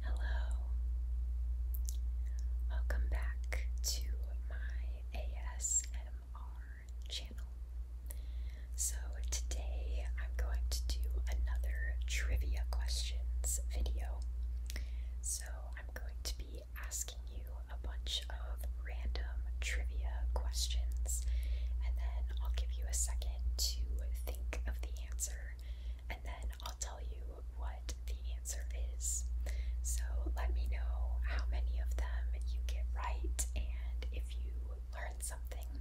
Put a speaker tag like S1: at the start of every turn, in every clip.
S1: Hello. Welcome back to my ASMR channel. So, today I'm going to do another trivia questions video. So, I'm going to be asking you a bunch of random trivia questions, and then I'll give you a second to think of the answer, and then I'll tell you what the answer is. So let me know how many of them you get right and if you learn something.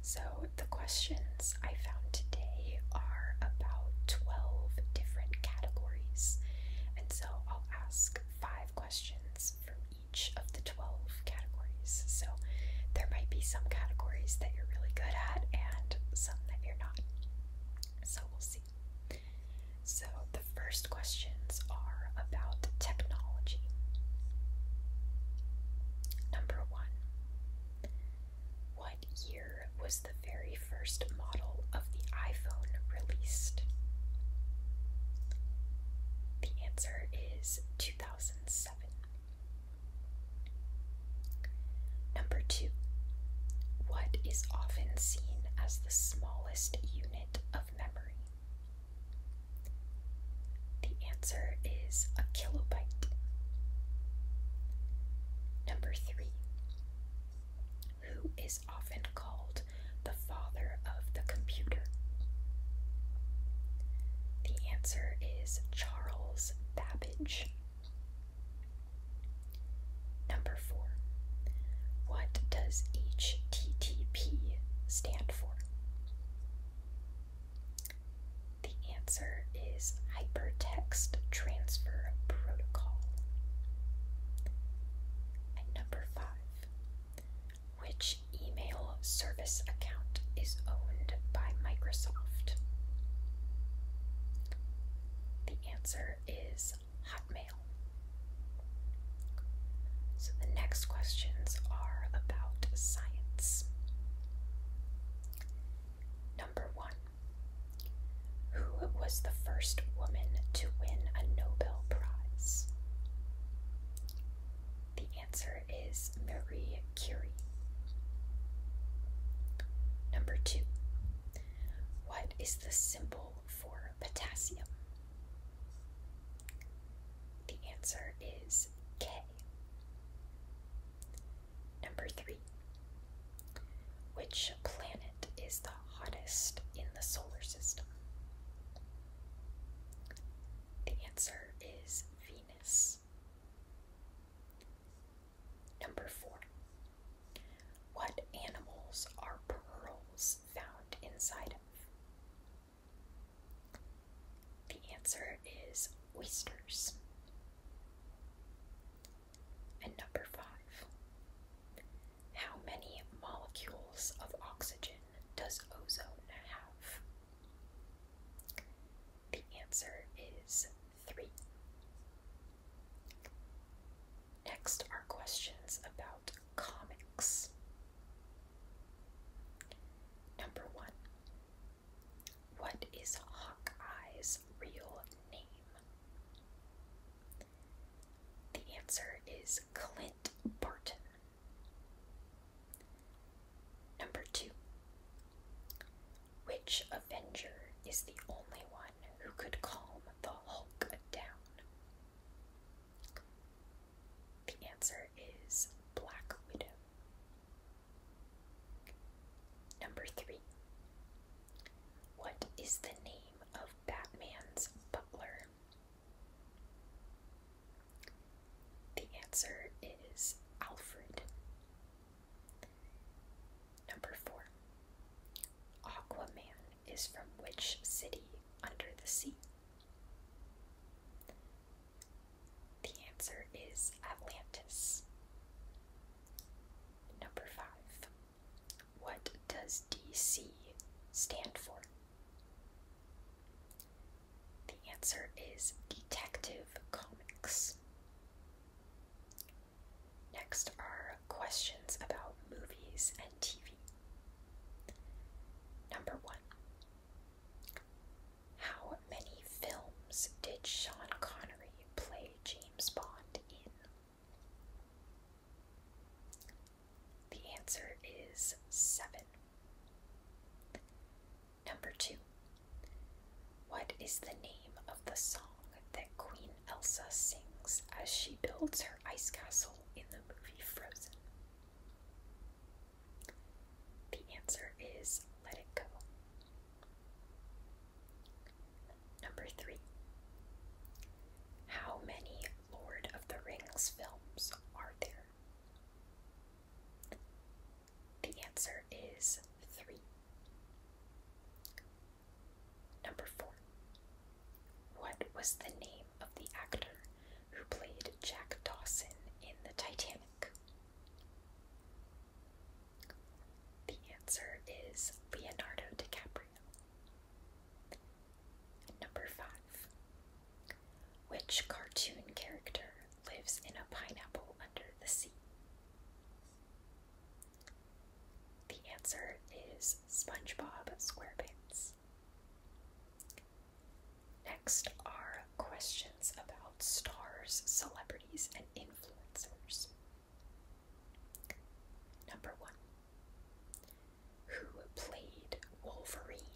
S1: So the questions I found today are about 12 different categories. And so I'll ask five questions from each of the 12 categories. So there might be some categories that you're really good at and some that you're not. So we'll see. So the first questions are about technology. Number one What year was the very first model of the iPhone released? The answer is 2007. Number two, what is often seen as the smallest unit of memory? The answer is a kilobyte. Number three, who is often called the father of the computer? The answer is Charles Babbage. Number four. What does HTTP stand for? The answer is Hypertext Transfer Protocol. number five. Which email service? service account is owned by Microsoft? The answer is Hotmail. So the next questions are about science. Number one Who was the first woman to win a Nobel Prize? The answer is Marie Curie. Number two, what is the symbol for potassium? The answer is K. Number three, which planet is the hottest in the solar system? The answer is Venus. Number four. What animals are pearls found inside of? The answer is oysters. And number five. How many molecules of oxygen does ozone have? The answer is 3. Next are questions about comics. Number 1. What is Hawkeye's real name? The answer is Clint Barton. Number two. Which Avenger is the only one who could calm the Hulk down? The answer is Black Widow. Number three. What is the name of Batman's butler? The answer is Alfred. Number four. Aquaman is from which city under the sea? The answer is Atlantis. Number five. What does DC stand for? The answer is Detective Comics. Next are questions about movies and TV. Number one How many films did Sean Connery play James Bond in? The answer is seven. Number two. What is the name of the song that Queen Elsa sings as she builds her ice castle in the movie Frozen? The answer is Let It Go. Number three. How many Lord of the Rings films are there? The answer is 3. Number 4. What was the name of the actor who played Jack Dawson in the Titanic? The answer is Leonardo DiCaprio. Number 5. Which cartoon character lives in a pineapple under the sea? The answer is SpongeBob SquarePants. Next are questions about stars, celebrities, and influencers. Number one Who played Wolverine?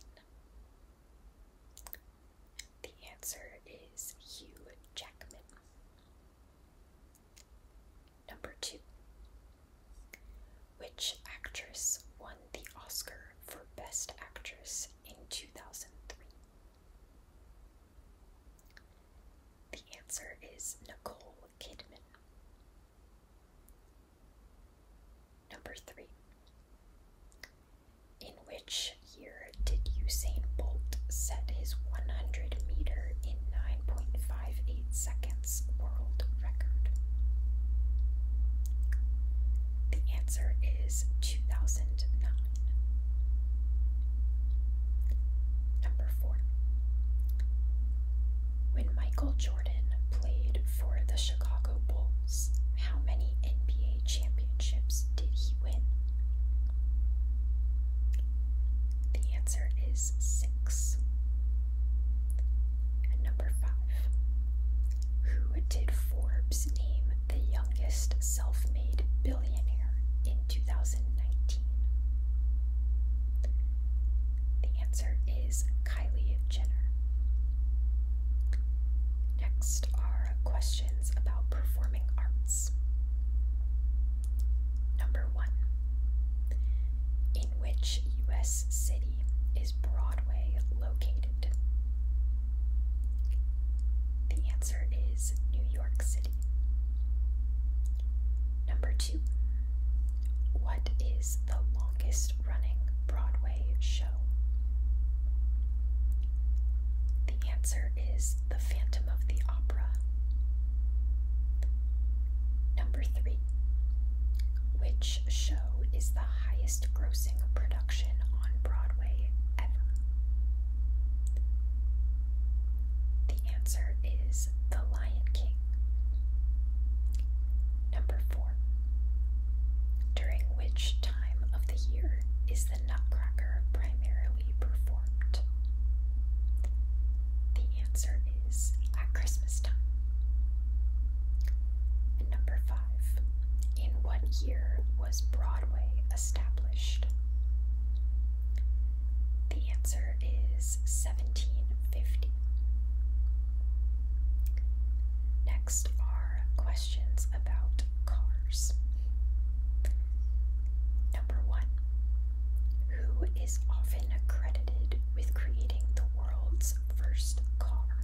S1: The answer is Hugh Jackman. Number two. Which actress won the Oscar for Best Actress in 2003? The answer is Nicole Kidman. Number three. In which year did Usain Bolt set his 100 meter in 9.58 seconds world record? The answer is 2009. Number 4. When Michael Jordan played for the Chicago Bulls, how many NBA championships did he win? The answer is six. number five. Who did Forbes name the youngest self made billionaire in 2019? The answer is Kylie Jenner. Next are questions about performing arts. Number one In which U.S. city is Broadway located? The answer is New York City. Number two What is the longest running Broadway show? The answer is The Phantom of the Opera. Number three. Which show is the highest grossing production on Broadway ever? The answer is The Lion King. Number four. During which time of the year is the the Nutcracker primarily performed? The answer is at Christmas time. number five, in what year was Broadway established? The answer is 1750. Now, next are questions about cars. Number one Who is often credited with creating the world's first car?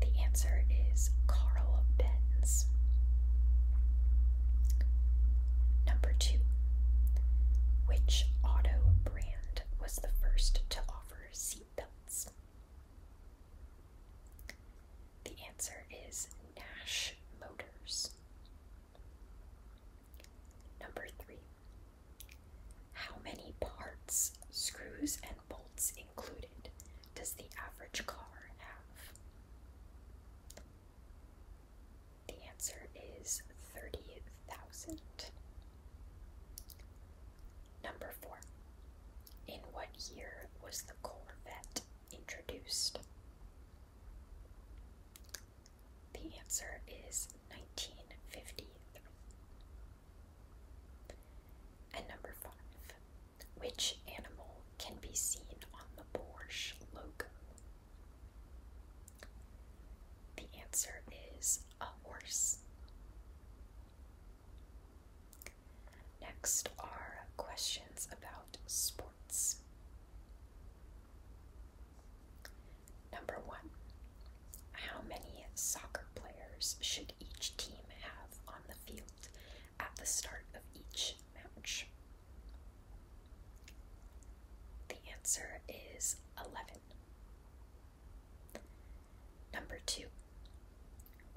S1: The answer is Carl Benz. Number two Which auto brand was the first to offer seatbelts? The answer is Nash Motors. Number three. How many parts, screws, and bolts included does the average car have? The answer is 30,000. Number four. In what year was the Corvette introduced? The answer is 1953. And number five, which animal can be seen on the Porsche logo? The answer is a horse. Next are questions about sports. Number one How many soccer players should each team have on the field at the start of each match? The answer is 11. Number two,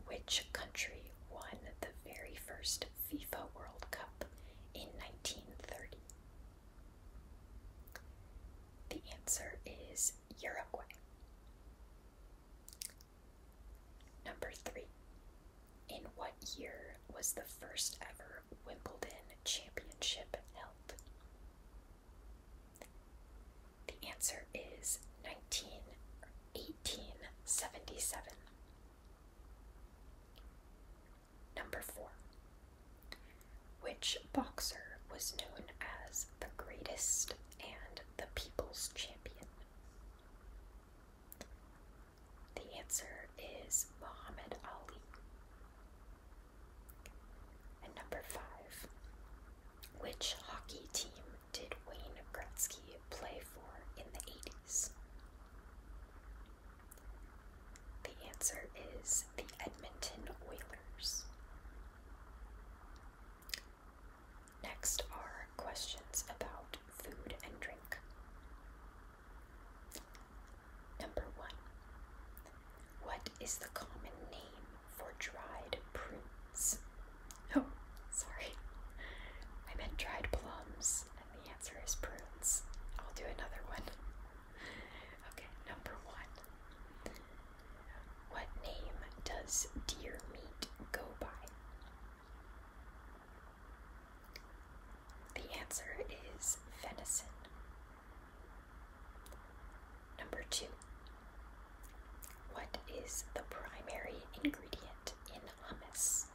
S1: which country won the very first FIFA World Cup in 1930? The answer is Uruguay. Number three, in what year was the first ever Wimbledon championship held? The answer is 19 Number 4. Which boxer was known as the greatest and the people's champion? The answer is Muhammad Ali. And number 5. Which hockey team did Wayne Gretzky play for in the 80s? The answer is the Edmonton Oilers. Next are questions about food and drink. Number one. What is the common name for dried prunes. Oh, sorry. I meant dried plums, and the answer is prunes. I'll do another one. Okay, number one. What name does deer meat go by? The answer is venison. Number two, what is the primary ingredient in hummus?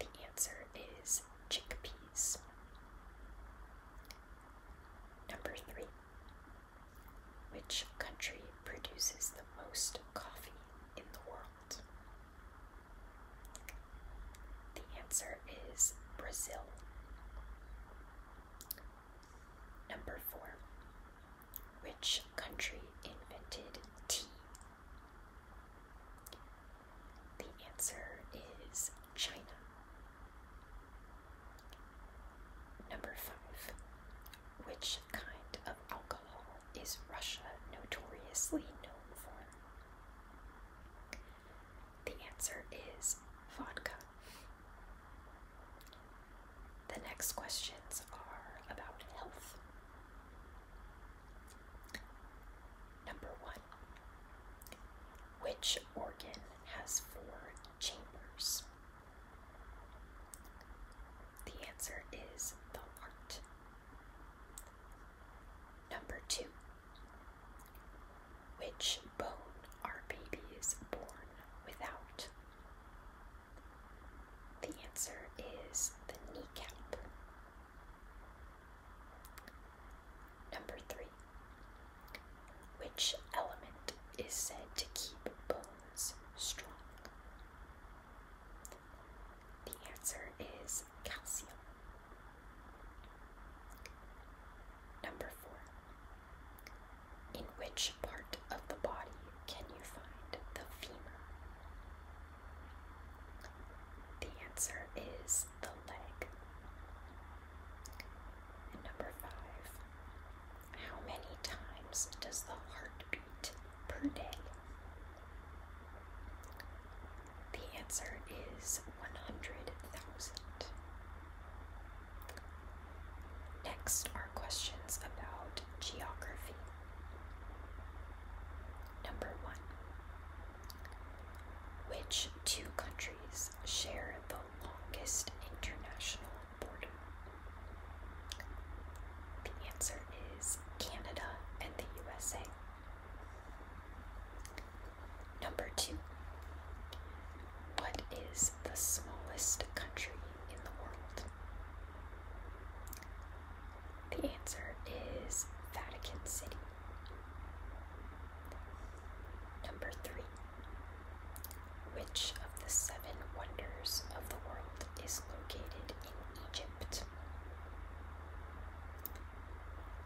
S1: The answer is chickpeas. Number three, which country produces the most coffee in the world? The answer is Brazil. Number four. Which country invented tea? The answer is China. Number five. Which kind of alcohol is Russia notoriously known for? The answer is vodka. The next questions are about health. Number one Which organ has four chambers? The answer is the heart. Number two which bone are babies born without? The answer is the kneecap. Number three. Which element is said to keep bones strong? The answer is calcium. Number four. In which part of the body can you find the femur? The answer is the leg. number five. How many times does the heart beat per day? The answer is 100,000. Next are questions about geography. Number one Which two countries share the longest international border? The answer is Canada and the USA. Number two, what is the smallest country in the world? The answer is Vatican City. Number three, which of the seven wonders of the world is located in Egypt?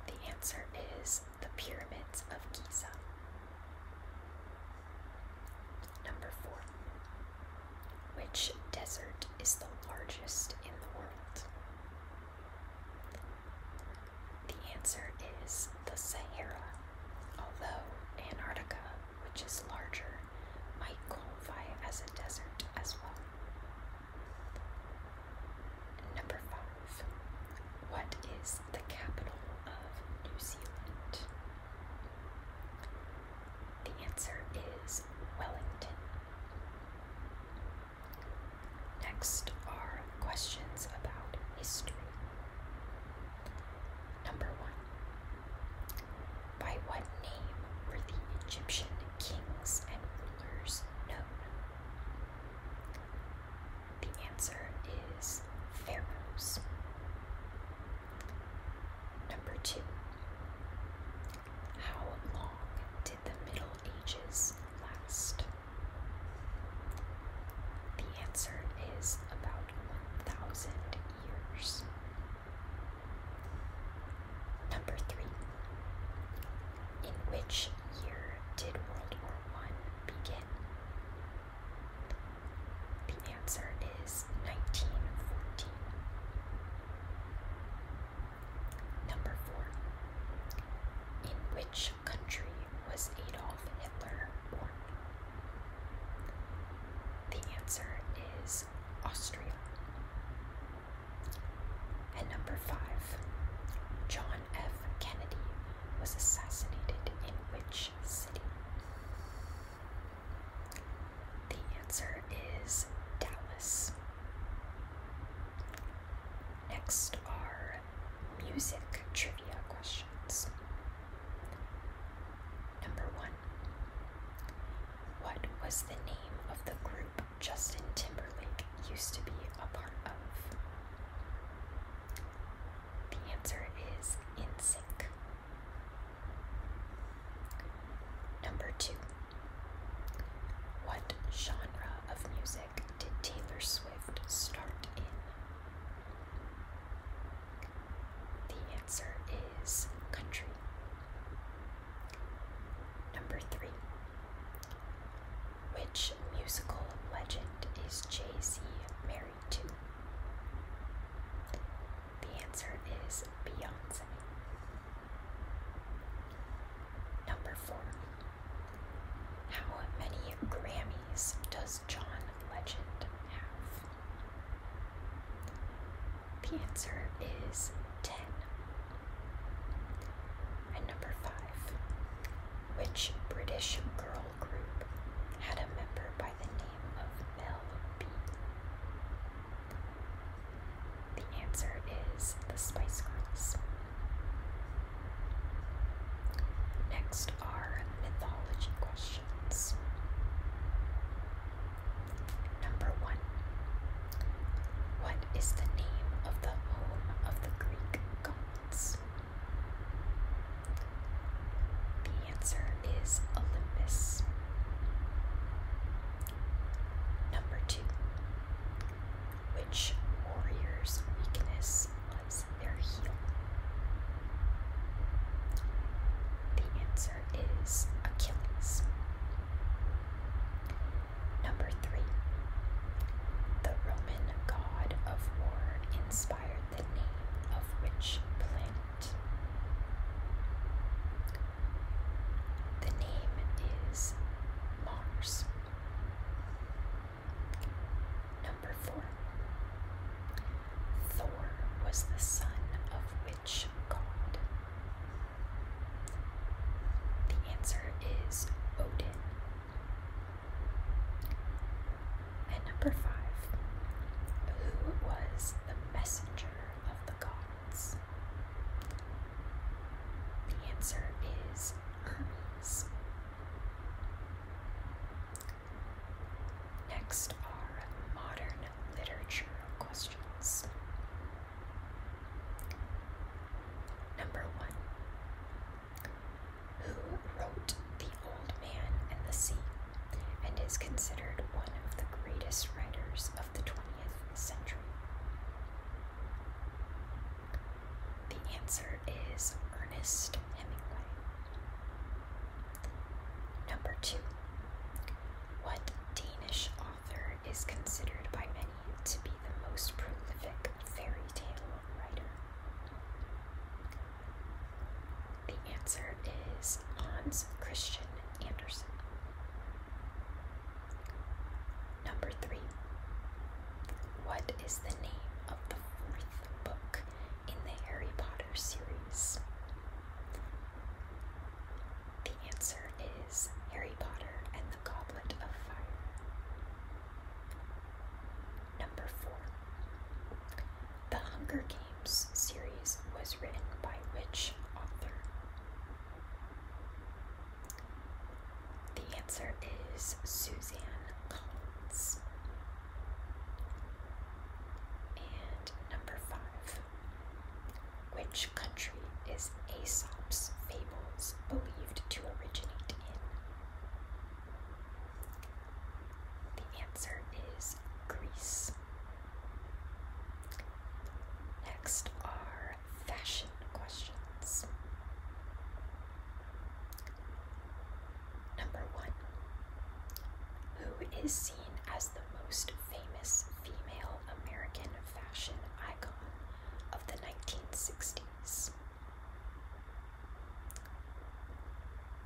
S1: The answer is the Pyramids of Giza. Number four. Which desert is the largest in the world? The answer is the Sahara, although Antarctica, which is larger, might qualify as a desert as well. Number five. What is the capital of New Zealand? The answer is Wellington. Next are questions about history. Number one By what name were the Egyptian kings and rulers known? The answer is pharaohs. Number two. How long did the Middle Ages last? The answer is about 1,000 years. Number three. In which year did World War I begin? The answer is 1914. Number 4. In which country was Adolf Hitler born? The answer is Austria. And number 5. John F. Kennedy was assassinated in which city? The answer is Dallas. Next are music trivia questions. Number one What was the name of the group Justin Timberlake used to be a part of? The answer is in sync. Number two. What genre of music did Taylor Swift start in? The answer is country. Number three. Which musical legend is Jay Z married to? The answer is Beyonce. Number four. How many Grammys does John Legend have? The answer is 10. And number five. Which British girl group had a member by the name of Mel B? The answer is the Spice Girls. Next are mythology questions. Number one. What is the name of the home of the Greek gods? The answer is Olympus. Number two. Which warrior's weakness was their heel? The answer is Achilles. Number three. The Roman god of war inspired the name of which Plint. The name is Mars. Number four. Thor was the son of which god? The answer is Odin, and number five, who was the messenger of the gods? The answer is Hermes. Next are modern literature questions. Number one who wrote The Old Man and the Sea and is considered one of the greatest writers of the 20th century. The answer is Ernest Hemingway. Number two. What Danish author is considered by many to be the most prolific fairy tale writer? The answer is Hans Christian Andersen. Number three. What is the name of the fourth book in the Harry Potter series? The answer is Harry Potter and the Goblet of Fire. Number four. The Hunger Games series was written by which author? The answer is Suzanne Collins. And number five. Which country is Aesop's fables believed to originate in? The answer is Greece. Next are fashion questions. Number one Who is seen as the most famous female American fashion icon of the 1960s?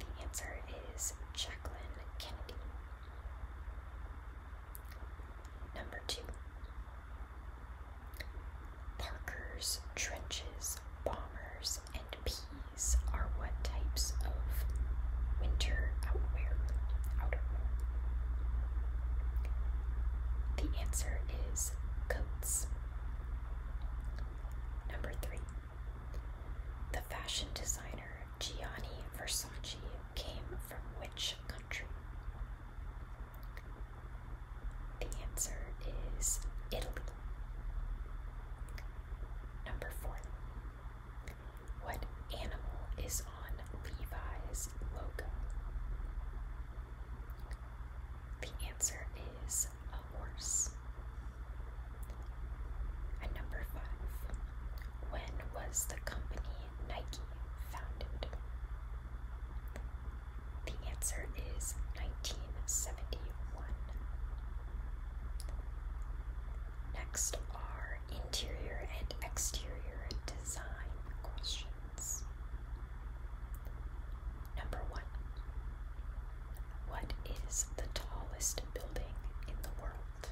S1: The answer is Jacqueline Kennedy. Number two Parker's trenches, bombers, and peas are what types of winter outwear? Outerwear. The answer is coats. Number three, the fashion designer Gianni Versace came from which country? The answer is Italy. Number four, what animal is on Levi's logo? The answer is a horse. And number five, when was the company Nike founded? The answer is 1971. Next are interior and exterior design questions. Number one. What is the tallest building in the world?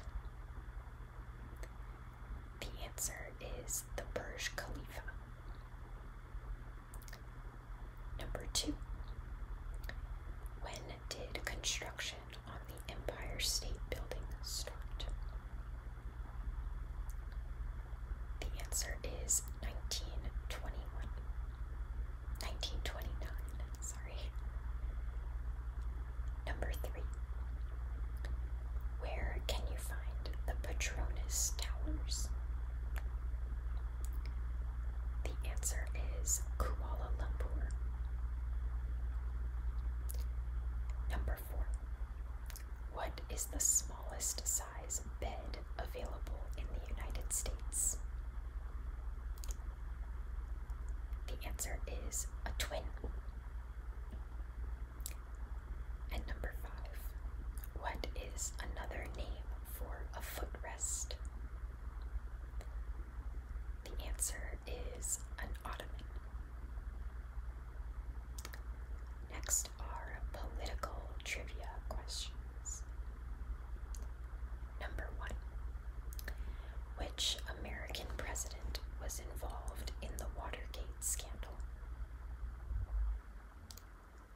S1: The answer is the Burj Khalifa. Number two. When did construction on the Empire State Building start? The answer is 1921. 1929, sorry. Number three. Where can you find the Petronas Towers? The answer is Kuala Lumpur. Number four. What is the smallest cell size bed available in the United States? The answer is a twin. And number five, what is another name for a footrest? The answer is an ottoman. Next are political trivia questions. Number one Which American president was involved in the Watergate scandal?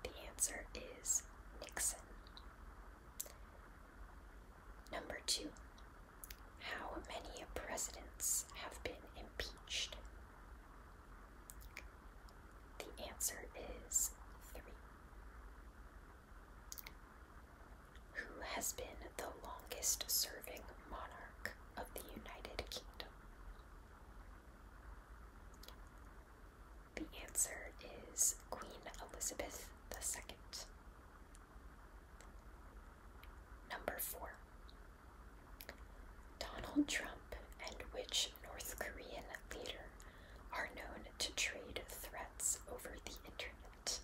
S1: The answer is Nixon. Number two, how many presidents have been impeached? The answer is three. Who has been the longest serving monarch of the United Kingdom? The answer is Queen Elizabeth II. Number four. Donald Trump and which North Korean leader are known to trade threats over the internet?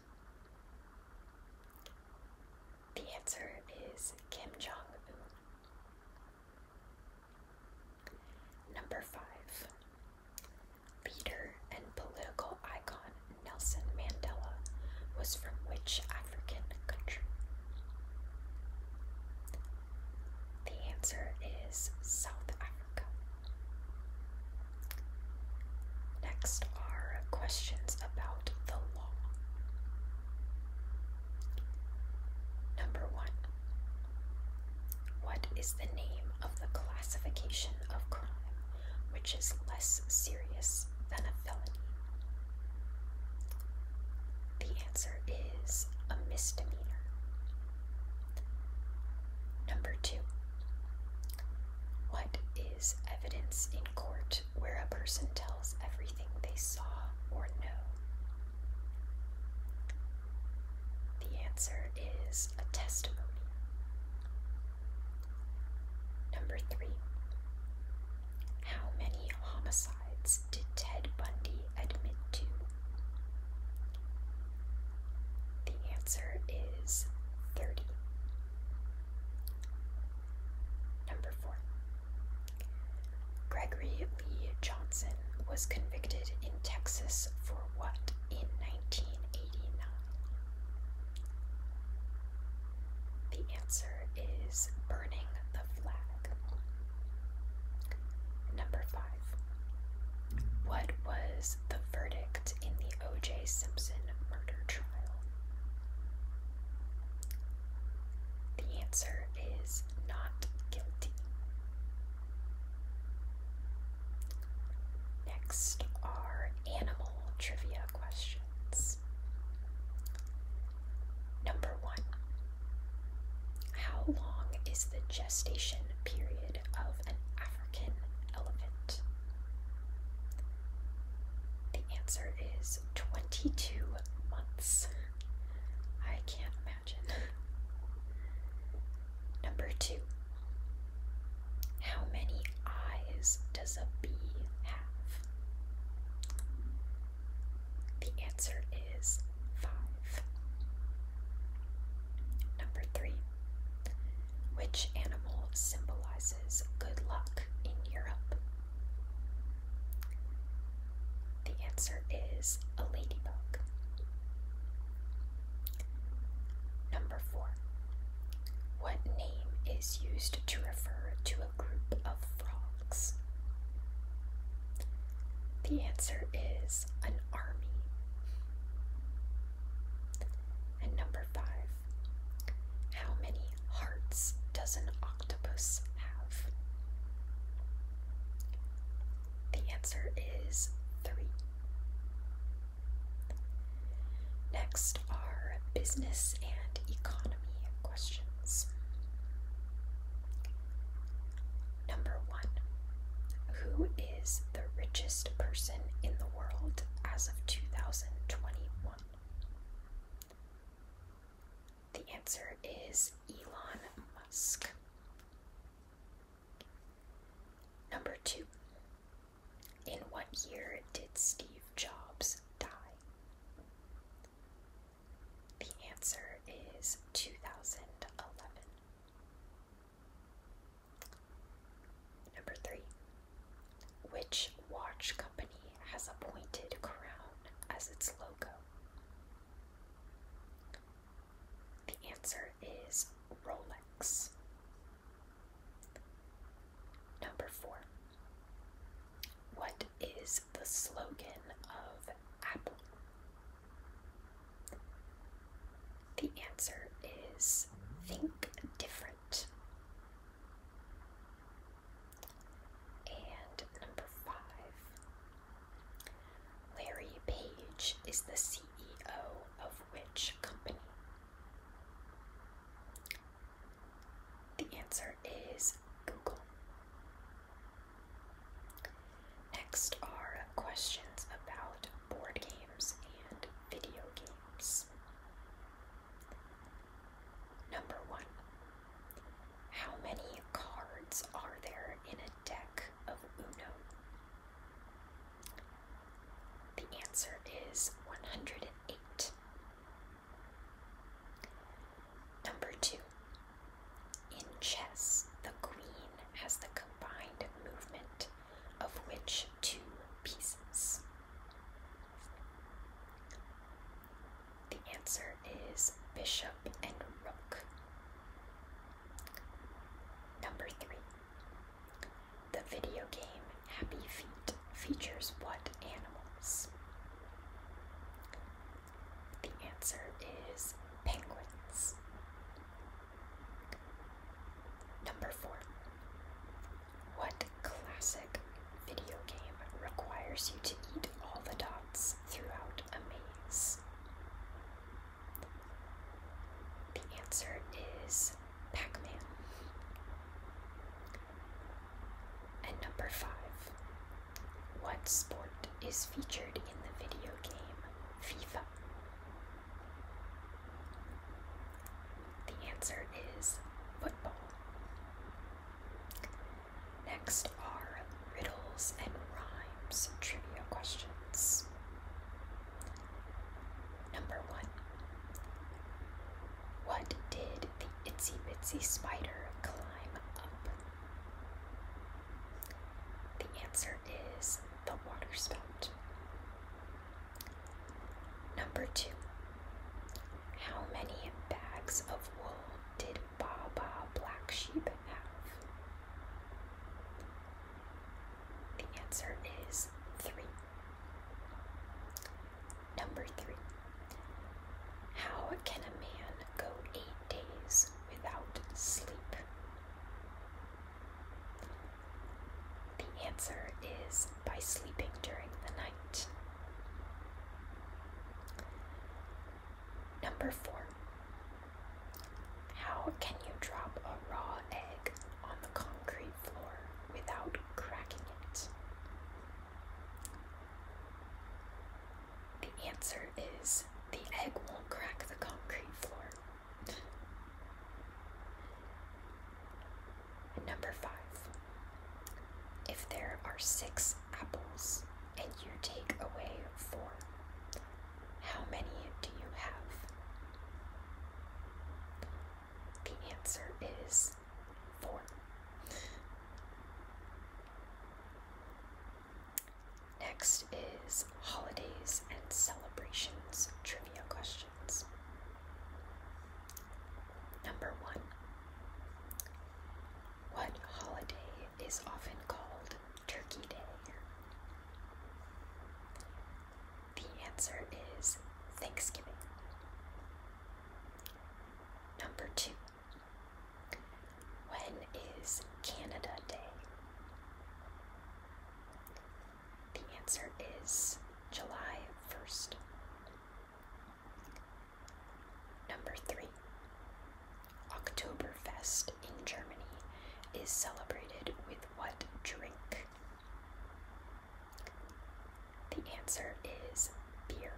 S1: The answer is Kim Jong Un. Number five, leader and political icon Nelson Mandela was from which African country? The answer is South Africa. Next are questions about the law. Number one What is the name of the classification of crime which is less serious than a felony? the answer is a misdemeanor. Number two. What is evidence in court where a person tells everything they saw or know? The answer is a testimony. Number three. How many homicides did Ted Bundy admit to? The answer is 30. Number 4. Gregory Lee Johnson was convicted in Texas for what in 1989? The answer is burning the flag. Number five. What was the verdict in the O.J. Simpson murder trial? The answer is not guilty. Next are animal trivia questions. Number one how long is the gestation period of an African elephant? The answer is 22 months. I can't imagine. Number two. How many eyes does a bee have? The answer is 5. Number 3. Which animal symbolizes good luck in Europe? The answer is a ladybug. Number 4. What name is used to refer to a group of frogs? The answer is an army. And number five, how many hearts does an octopus have? The answer is three. Next are business and economy questions. Number one, who is the richest person in the world as of 2021? The answer is Elon Musk. Number two, in what year did Steve Jobs die? The answer is 2011. Number three. Which watch company has a pointed crown as its logo? The answer is Rolex. Number four. What is the slogan of Apple? The answer is think different. And number five, Larry Page is the CEO of which company? The answer is Google. Next are questions about board games and video games. Number one How many cards are there in a deck of Uno? The answer is 108. Number two in chess, the queen has the combined movement of which two pieces? The answer is bishop and rook. Number three. The video game Happy Feet features what animals? The answer is penguins. Number four. What classic video game requires you to eat all the dots throughout a maze? The answer is Pac Man. And number five. What sport is featured in the video game FIFA? The answer is football. Next are riddles and rhymes trivia questions. Number one What did the itsy bitsy spider climb up? The answer is the waterspout. Number two. How many bags of wool did Baba Black Sheep have? The answer is three. Number three. How can a man go eight days without sleep? The answer is by sleeping during the night. Number four. How can you drop a raw egg on the concrete floor without cracking it? The answer is the egg won't crack the concrete floor. Number five. If there are six apples and you take away four, how many do you have? The answer is four. Next is holidays and celebrations trivia questions. Number one What holiday is often called Turkey Day? The answer is Thanksgiving. Number two when is Canada Day? The answer is July 1st. Number 3. Oktoberfest in Germany is celebrated with what drink? The answer is beer.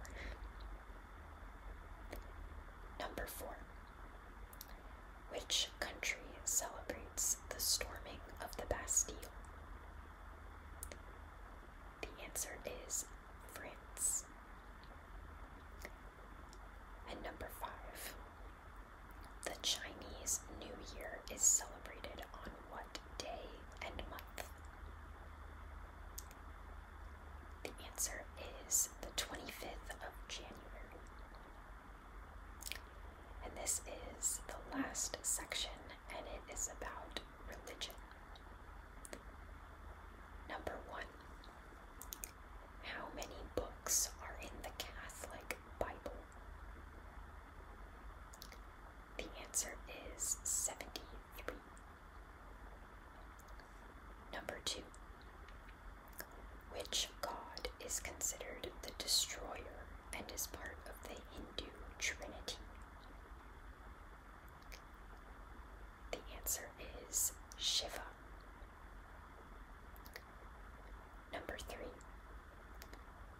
S1: Number four. Which country celebrates the storming of the Bastille? The answer is France. And number five. The Chinese New Year is celebrated on what day and month? The answer is the 25th of January. And this is the last section, and it is about religion. Number one How many books are in the Catholic Bible? The answer is 73. Number two, which god is considered the destroyer and is part of the Hindu Trinity? The answer is Shiva. Number three,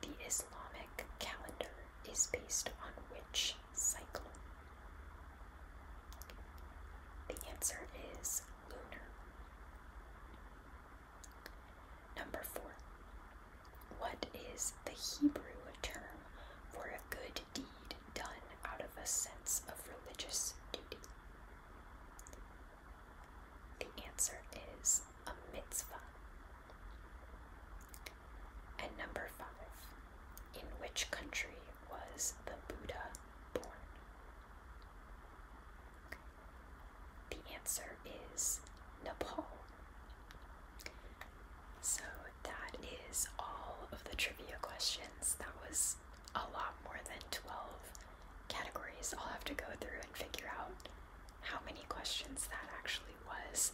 S1: the Islamic calendar is based on which cycle? The answer is lunar. Number four. What is the Hebrew term for a good deed done out of a sense of religious duty? The answer is a mitzvah. And number five. In which country was the Buddha born? The answer is Nepal. So that is all of the trivia questions. That was a lot more than 12 categories. I'll have to go through and figure out how many questions that actually was.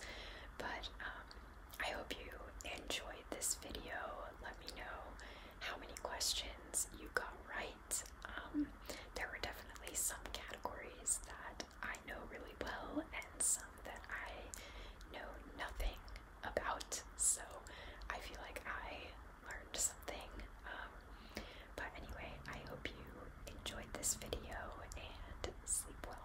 S1: But um, I hope you enjoyed this video. Let me know how many questions you got right. Um, there were definitely some categories that I know really well and some that I know nothing about. So I feel like I learned something. Um, but anyway, I hope you enjoyed this video and sleep well.